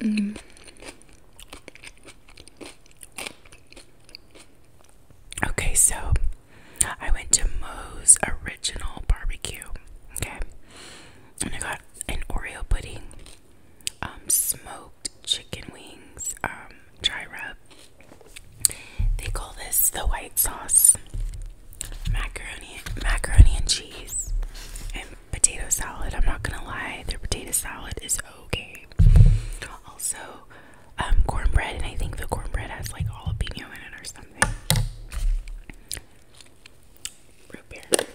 Mm. Okay, so I went to Mo's Original Barbecue, okay, and I got an Oreo pudding um, smoked chicken wings, um, dry rub. They call this the white sauce, macaroni, macaroni and cheese, and potato salad. I'm not gonna lie, their potato salad is okay. Also, um, cornbread, and I think the cornbread has like jalapeno in it or something root beer. Okay.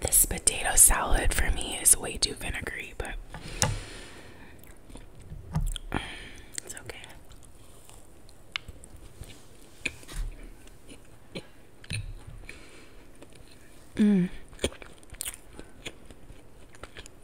This potato salad for me is way too vinegary, but it's okay. Mm.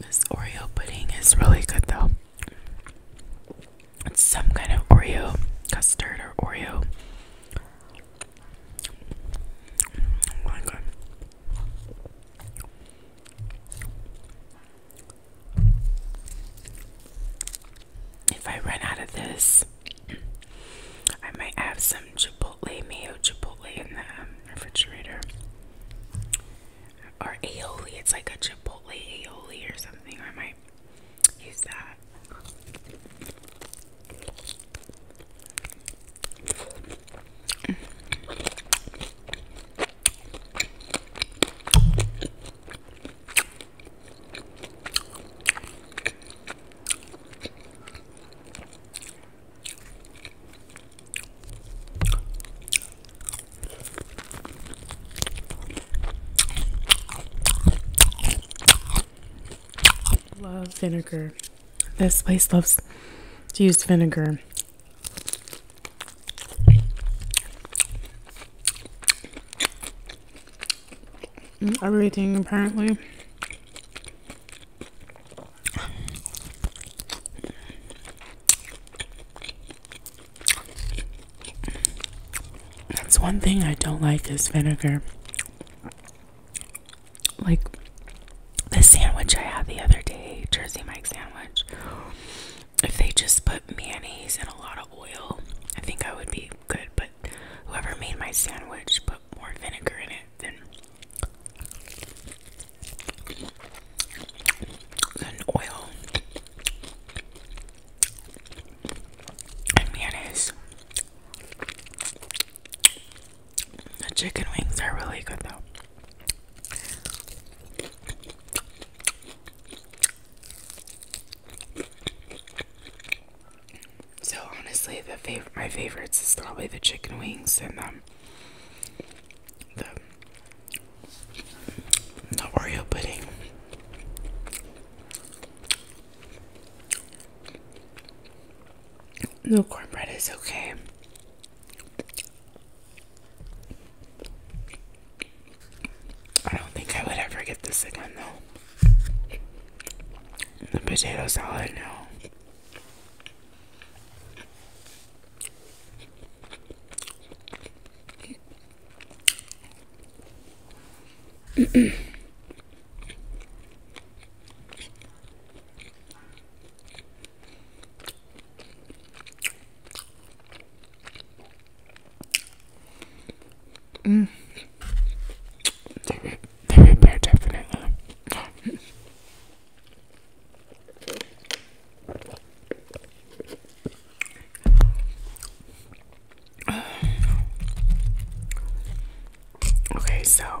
This Oreo pudding is really good though. It's some kind of Oreo custard or Oreo. Oh my god. If I run out of this, I might have some chipotle, mayo chipotle in the um, refrigerator. Or aioli, it's like a chipotle aioli or something. I might use that. Love vinegar. This place loves to use vinegar everything apparently. That's one thing I don't like is vinegar. Like the sandwich I had the other day, Jersey Mike's sandwich. If they just put mayonnaise and a lot of oil, I think I would be good, but whoever made my sandwich put more vinegar in it than than oil and mayonnaise. The chicken wings are really good though. So honestly, the fav my favorites is probably the chicken wings and um, the the Oreo pudding. No cornbread is okay. I don't think I would ever get this again though the potato salad now. Mm. They, they repair definitely. okay, so.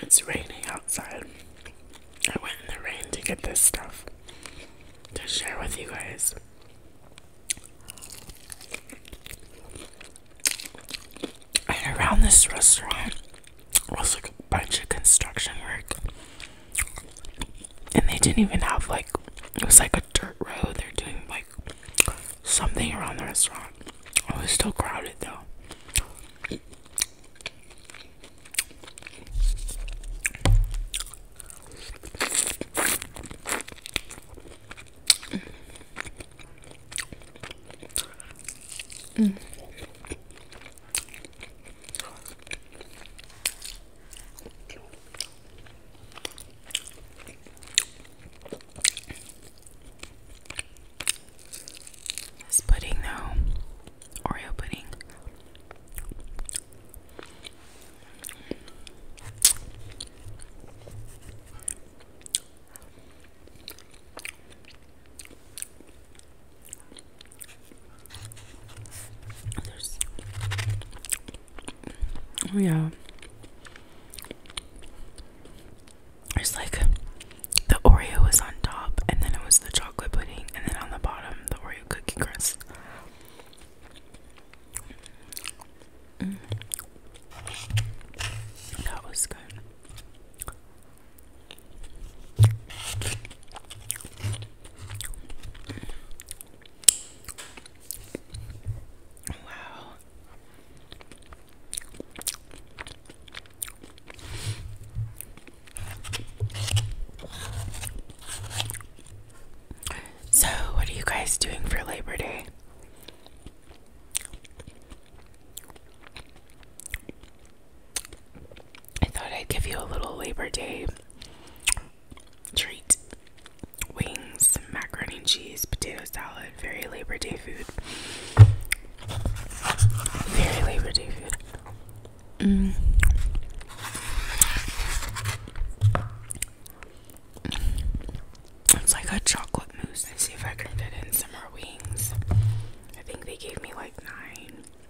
It's raining outside. I went in the rain to get this stuff to share with you guys. And around this restaurant was like a bunch of construction work and they didn't even have like it was like a dirt road. They're doing like something around the restaurant. Oh, it was still crowded though. Mm. This pudding, though, Oreo pudding. There's oh yeah. There's like the Oreo was on top and then it was the chocolate pudding and then on the bottom the Oreo cookie crust. Mm. That was good. Wow. So, what are you guys doing for Labor Day? I thought I'd give you a little Labor Day treat wings, macaroni and cheese, potato salad. Very Labor Day food. Very Labor Day food. Mm. It's like a chocolate mousse. Let's see if I can fit in some more wings. I think they gave me like nine.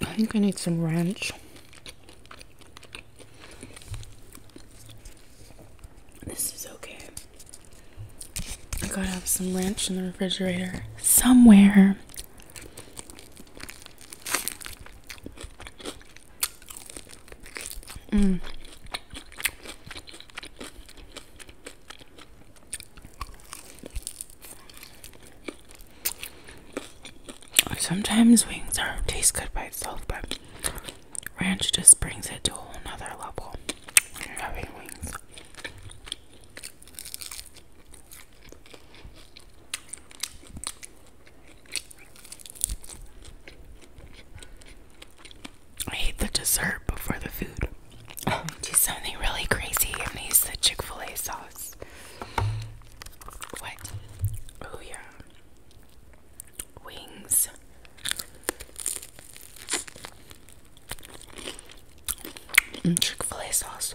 I think I need some ranch. This is okay. I gotta have some ranch in the refrigerator somewhere. Mm. Sometimes wings are taste good by itself, but ranch just brings it to a whole nother level. Having wings. I hate the dessert before the food. Oh, do something really crazy and use the Chick fil A sauce. What? Oh, yeah. Wings. Mm, Chick fil A sauce.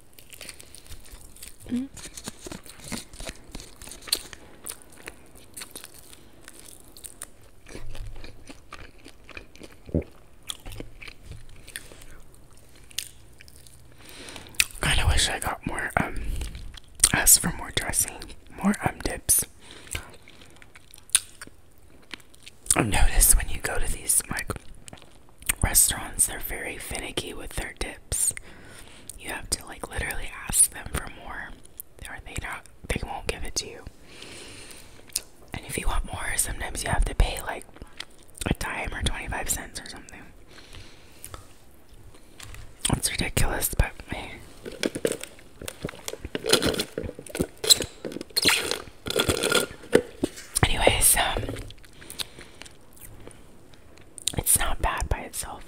Mm. I wish I got more um asked for more dressing, more um dips. i notice when you go to these like restaurants, they're very finicky with their dips. You have to like literally ask them for more, or they not they won't give it to you. And if you want more, sometimes you have to pay like a dime or 25 cents or something. It's ridiculous, but hey. Anyways, um, it's not bad by itself.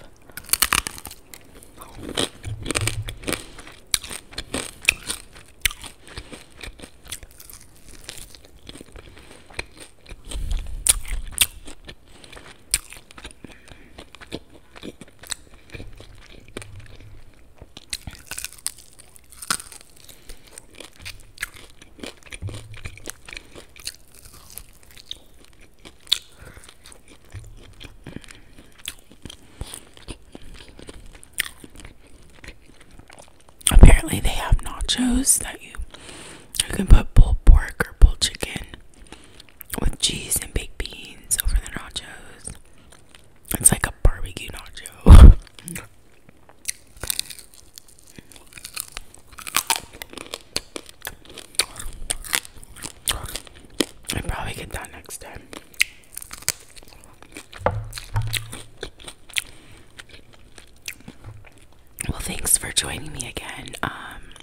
Apparently, they have nachos that you you can put pulled pork or pulled chicken with cheese and baked beans over the nachos. It's like a barbecue nacho. I probably get that next time. Well, thanks for joining me again. Um,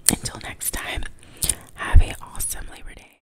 until next time, have an awesome Labor Day.